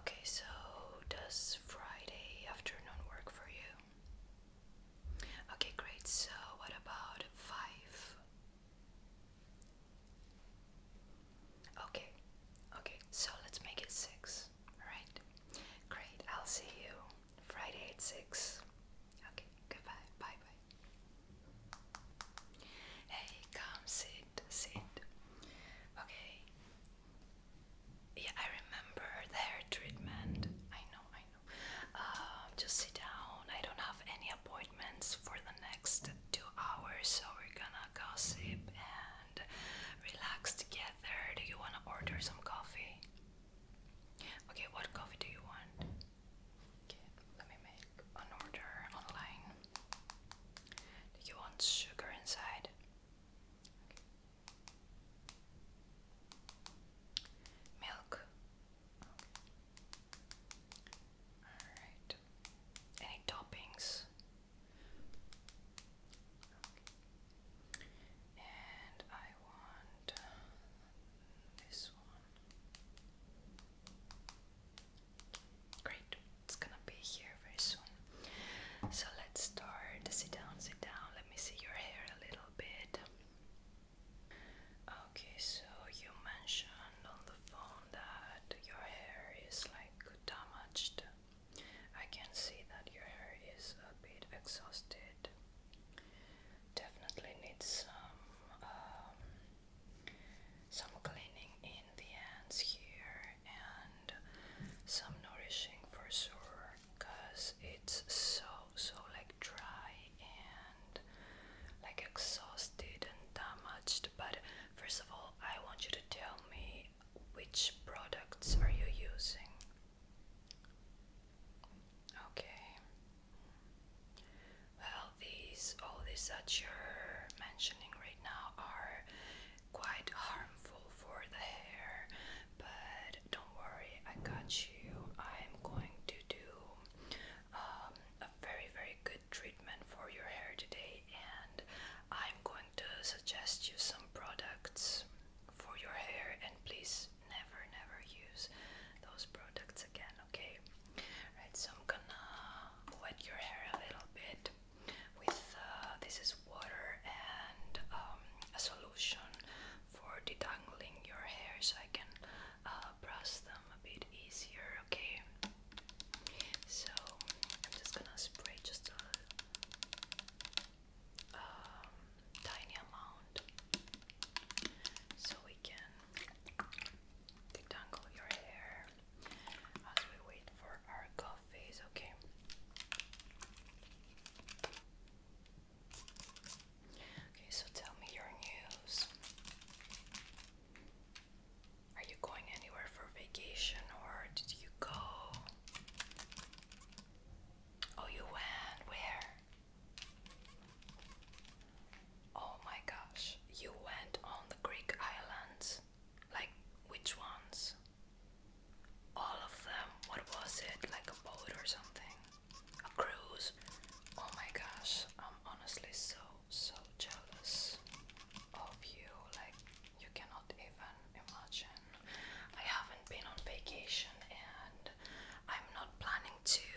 Okay, so does Friday afternoon work for you? Okay, great. So what about 5? Okay. Okay, so let's make it 6. Alright? Great. I'll see you Friday at 6. Okay, goodbye. Bye bye. Hey, come see sit, sit. Okay. Yeah, I remember the hair treatment. I know, I know. Uh, just sit down. I don't have any appointments for the next two hours, so we're gonna gossip and relax together. Do you wanna order some coffee? Okay, what coffee do you want? Okay, let me make an order online. Do you want sugar inside? Okay. Milk. Alright. Any toppings? And I want this one. Great, it's gonna be here very soon. So let's start. Sit down, sit down. Let me see your hair a little bit. Okay, so you mentioned on the phone that your hair is like damaged. I can see that your hair is a bit exhausted. Definitely needs some um, some cleaning the ends here and some nourishing for sure because it's so so like dry and like exhausted and damaged but first of all I want you to tell me which products are you using okay well these all these that you're mentioning right now are quite harmful for the hair, but don't worry, I got you. I'm going to do um, a very, very good treatment for your hair today, and I'm going to suggest you some products for your hair. And please never, never use those products again, okay? Right, so I'm gonna wet your hair a little bit with uh, this is water and um, a solution for detangling your hair so I can uh, brush them a bit easier okay so I'm just gonna spray just a um, tiny amount so we can detangle your hair as we wait for our coffee okay. Okay, so tell me your news. Are you going anywhere for vacation or did you go? Oh, you went where? Oh my gosh, you went on the Greek islands. Like, which ones? All of them. What was it? Like a boat or something? A cruise? Oh my gosh, I'm honestly so, so jealous of you. Like, you cannot even imagine. I haven't been on vacation and I'm not planning to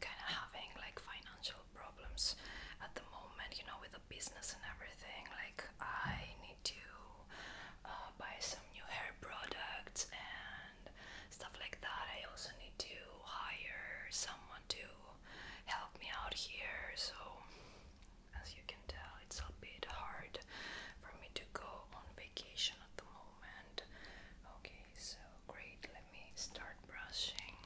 kind of having like financial problems at the moment, you know, with the business and everything. Like, I need need to uh, buy some new hair products and stuff like that. I also need to hire someone to help me out here. So, as you can tell, it's a bit hard for me to go on vacation at the moment. Okay, so great. Let me start brushing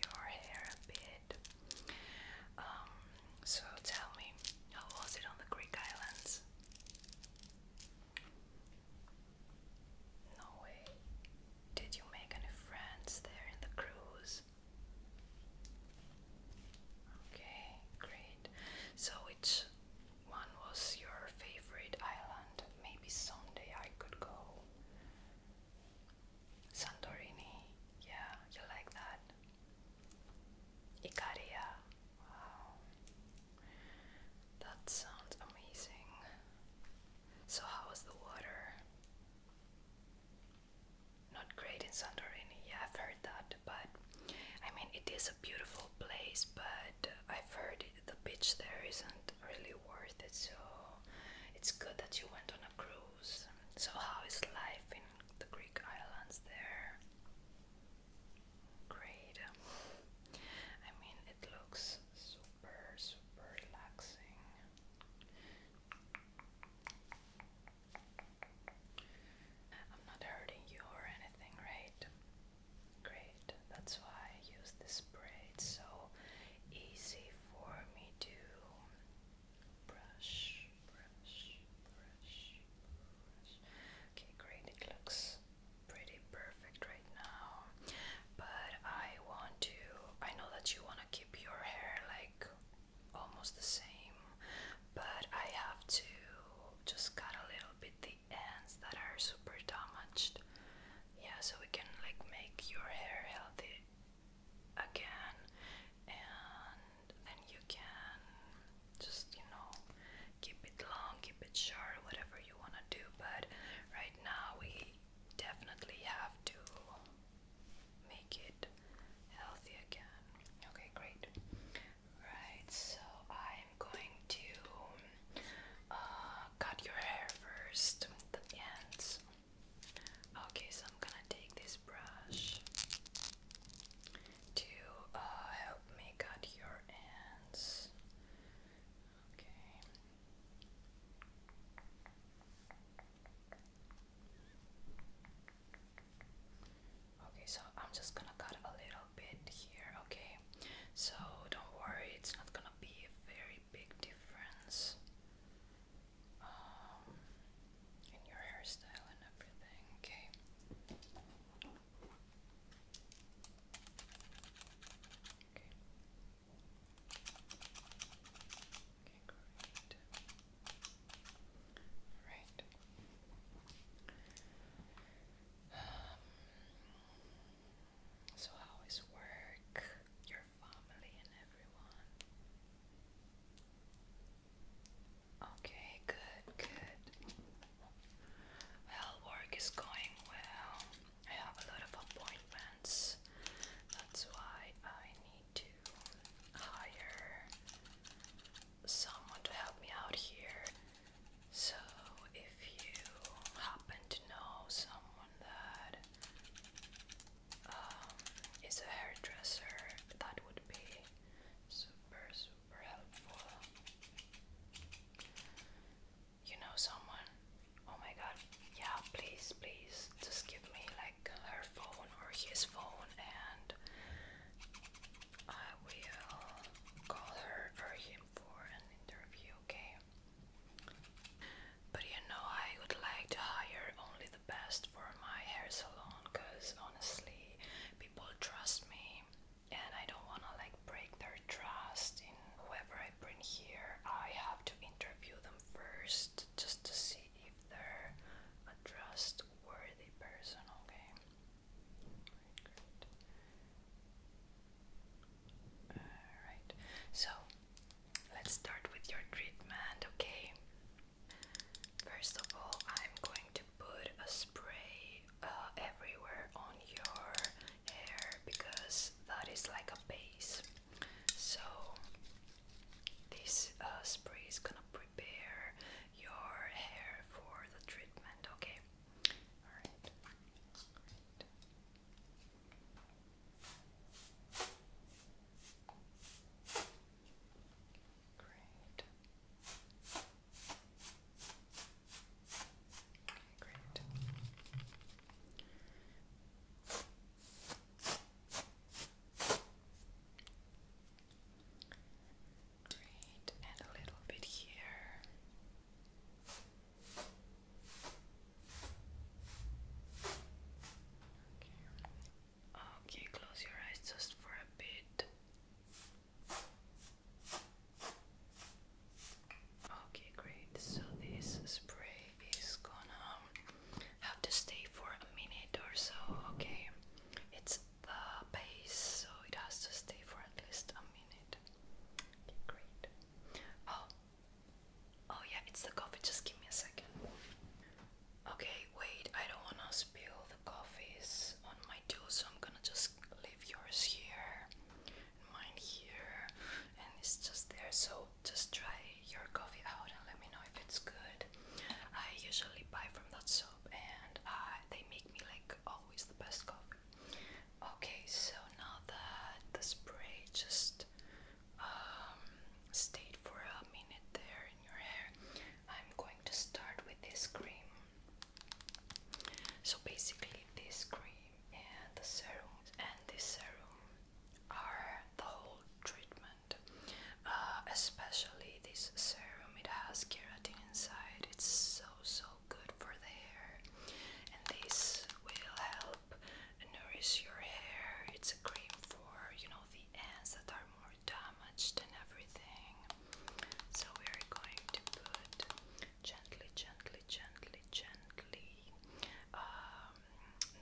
your hair a bit. Um, so tell me, how was it on the Greek islands? No way. Did you make any friends there in the cruise? Okay, great. So which one was your favorite island? Maybe someday I could go. Santorini. Yeah, you like that? Icaria. Wow. That sounds amazing. So, how was the water? Not great in Santorini. Yeah, I've heard that, but I mean, it is a beautiful place, but I've heard the beach there isn't really worth it. So, it's good that you went on a cruise. So, how is life in the Greek islands there? Great. I mean, it looks super, super relaxing. I'm not hurting you or anything, right? Great. That's why I use this spray. It's so easy for me to brush, brush, brush, brush. Okay, great. It looks pretty perfect right now. But I want to, I know that you want to keep your hair like almost the same, but I have to just cut a little bit the ends that are super damaged. Yeah, so we can like make your hair healthy again and then you can just, you know, keep it long, keep it short, whatever you want to do. But right now, we definitely have to make it healthy again. Okay, great. Right, so I'm going to uh, cut your hair first, the ends. Okay, so I'm gonna take this brush to uh, help me cut your ends. Okay. Okay, so I'm just gonna cut a little bit here, okay? So don't worry, it's not gonna be a very big difference. Um, and your hairstyle and everything, okay? Okay. Okay, great. Alright. Um, so how is work, your family and everyone? Okay, good, good. Well, work is going well. I have a lot of appointments. That's why I need to hire someone to help me out here. So, if you happen to know someone that um, a hairdresser, that would be Super, super helpful. You know someone? Oh my god, yeah, please, please, just give me like her phone or his phone and I will call her or him for an interview, okay? But you know, I would like to hire only the best for my hair salon because honestly, people trust me, and I don't want to like break their trust in whoever I bring here. I have to interview them first just to see if they're a trustworthy person, okay? Alright, so let's start with your treatment, okay? First of all, I'm going to put a spray uh, everywhere on your hair because that is like a base. So, this uh, spray is gonna prepare your hair for the treatment, okay? Alright. Great. Okay, great. Great, and a little bit here. Okay. Okay, close your eyes just for a bit. Okay, great. So this spray is gonna have to stay for a minute or so, okay? It's the base, so it has to stay for at least a minute. Okay, great. Oh, oh yeah, it's the coffee. Just give me a second. Okay, wait. I don't wanna spill coffee is on my tool, so I'm gonna just leave yours here and mine here, and it's just there. So just try your coffee out and let me know if it's good. I usually buy from that shop, and uh, they make me like always the best coffee. Okay, so now that the spray just um, stayed for a minute there in your hair, I'm going to start with this cream. So basically, this cream and the serum and this serum are the whole treatment. Uh, especially this serum, it has keratin inside. It's so so good for the hair, and this will help nourish your hair. It's a cream for you know the ends that are more damaged and everything. So we are going to put gently, gently, gently, gently. Um,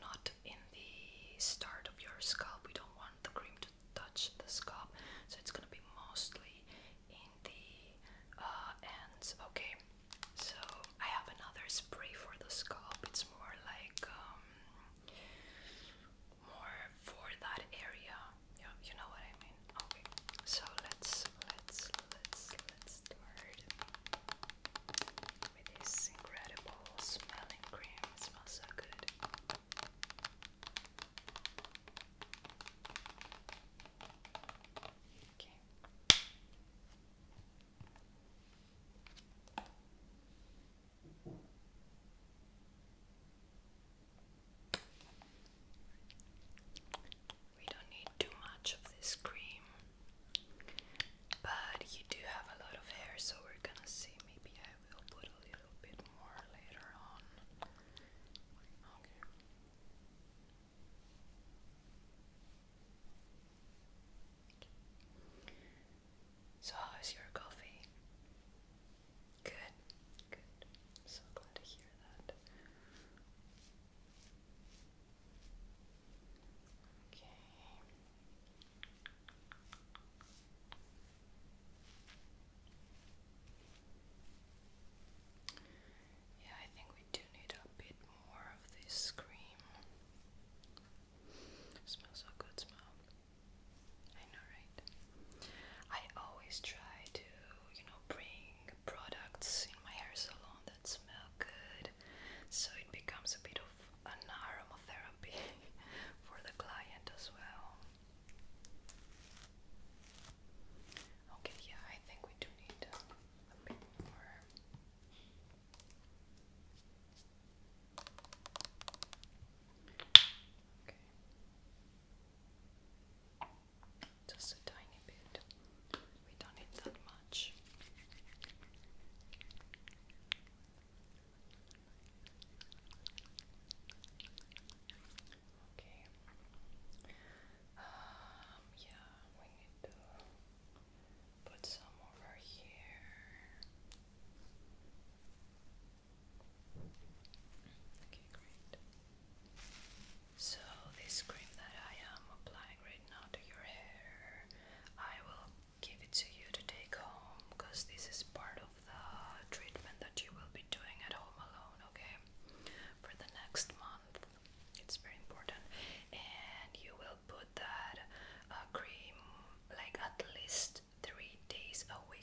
not in the start of your scalp. We don't want the cream to touch the scalp, so it's gonna be mostly in the uh, ends. Okay. So I have another spray for the scalp. It's more like um, more for that area yeah, you know what I mean. Okay, so let's let's let's let's start with this incredible smelling cream. smells so good. Okay. We don't need too much of this cream, but you do have a lot of hair, so we're gonna see. Maybe I will put a little bit more later on. Okay. So, how's your coffee? Good, good. so glad to hear that. Okay. Yeah, I think we do need a bit more of this cream. smells so good, smell. I know, right? I always try to, you know, bring products in my hair salon that smell good so it becomes a bit of an aromatherapy for the client as well. Okay, yeah, I think we do need a, bit more. Okay. Just a tiny bit. We don't need that much. Okay. Um, yeah, we need to put some over here. So, this cream that I am applying right now to your hair, I will give it to you to take home because this is part of the treatment that you will be doing at home alone, okay? For the next month. It's very important. And you will put that uh, cream like at least three days a week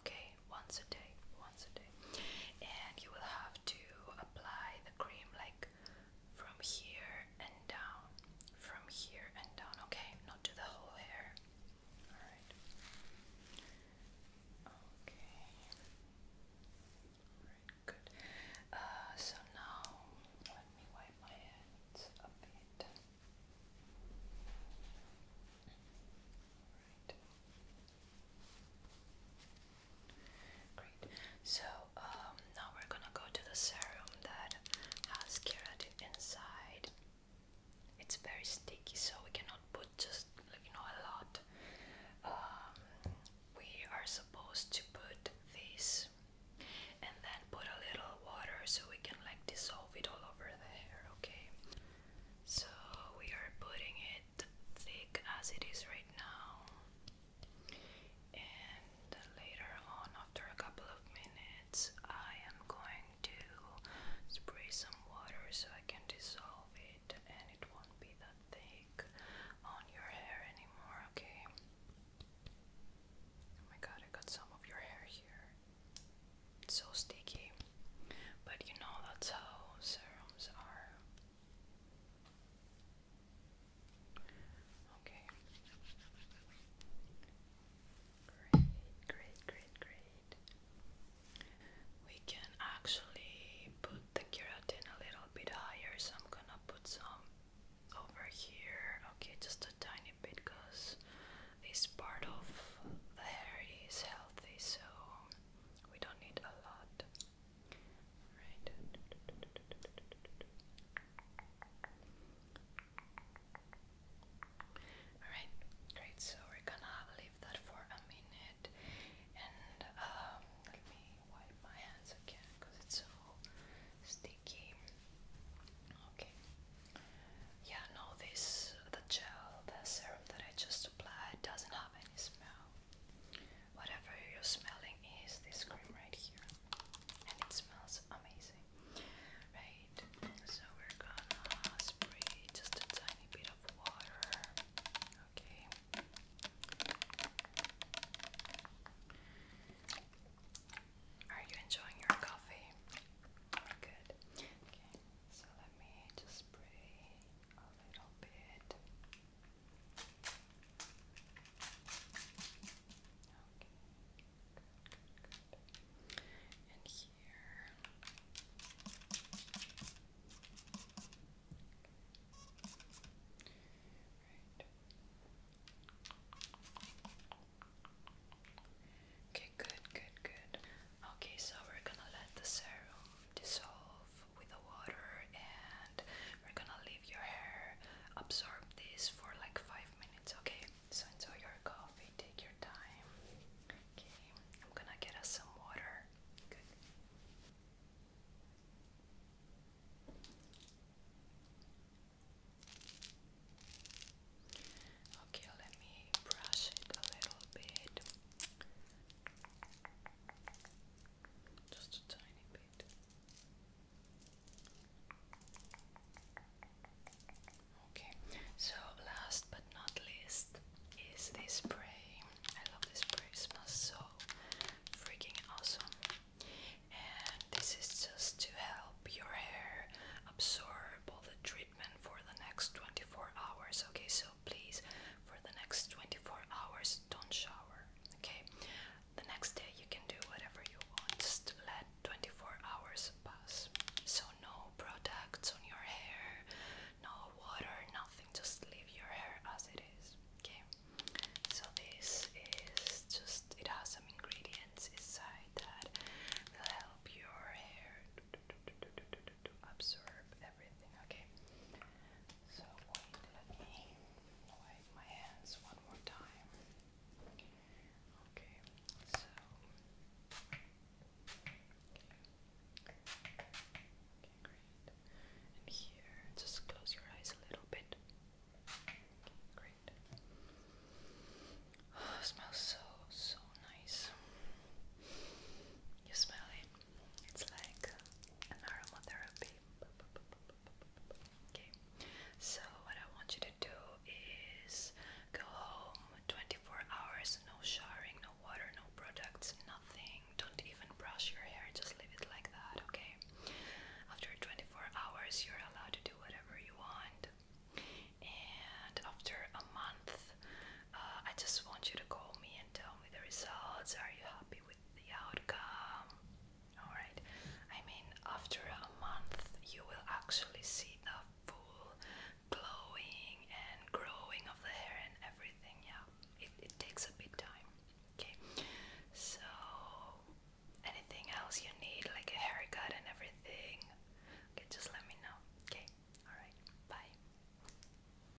okay? Once a day, once a day. And you will have to apply the cream like from here and down, from here and down, okay? Not to the whole hair. Alright. Okay. Alright, good. Uh, so now let me wipe my hands a bit. Okay. Great. So um, now we're gonna go to the serum that has keratin inside. It's very sticky, so we cannot put just you know a lot. Um, we are supposed to put this and then put a little water so we can like dissolve it all over the hair. Okay. So we are putting it thick as it is right now and later on after a couple of minutes I am going to spray some water so I can dissolve it and it won't be that thick on your hair anymore okay oh my god I got some of your hair here so sticky but you know that's how serums are. Okay. Great, great, great, great. We can actually put the keratin a little bit higher, so I'm gonna put some over here. Okay, just a tiny bit because this part of the hair is healthy, so we don't need a lot. Right. Alright, great. So we're gonna leave that for a minute. And um, let me wipe my hands again because it's so sticky. Okay. Yeah, no, this the gel, the serum that I just applied doesn't have any smell. Whatever you're smelling is this cream right here, and it smells amazing. Right, so we're gonna spray just a tiny bit of water, okay. Are you enjoying your coffee? Good. Okay, so let me just spray a little bit. Okay, good, good, good. And here. Right. Okay, good, good, good. Okay, so we're gonna let the serum dissolve with the water and we're gonna leave your hair absorb this for like five minutes okay so enjoy your coffee take your time okay I'm gonna get us some water Okay, let me brush it a little bit. Just a tiny bit. Okay, so last but not least is this spray. I love this spray, smells so freaking awesome. And this is just to help your hair absorb all the treatment for the next 24 hours. Okay, so please, for the next 24 hours, don't shower. Okay? The next day, you can do whatever you want. Just let 24 hours pass. So, no products on your hair, no water, nothing. Just leave your hair as it is. Okay? So, this is just, it has some ingredients inside that will help your hair to absorb everything. Okay. So let me wipe my hands one more time. Okay. So. Okay. Okay, great. And here, just close your eyes a little bit. Okay, great. Oh, smells so, so nice. You smell it? It's like an aromatherapy. Okay, so what I want you to do is go home 24 hours, no showering, no water, no products, nothing. Don't even brush your hair, just leave it like that, okay? After 24 hours, you're allowed to do whatever you want. And after a month, uh, I just want you to call me and tell me the results. Are you happy with the outcome? Alright, I mean, after a month, you will actually see the full glowing and growing of the hair and everything. Yeah, it, it takes a bit time. Okay, so anything else you need, like a haircut and everything, okay, just let me know. Okay, alright, bye.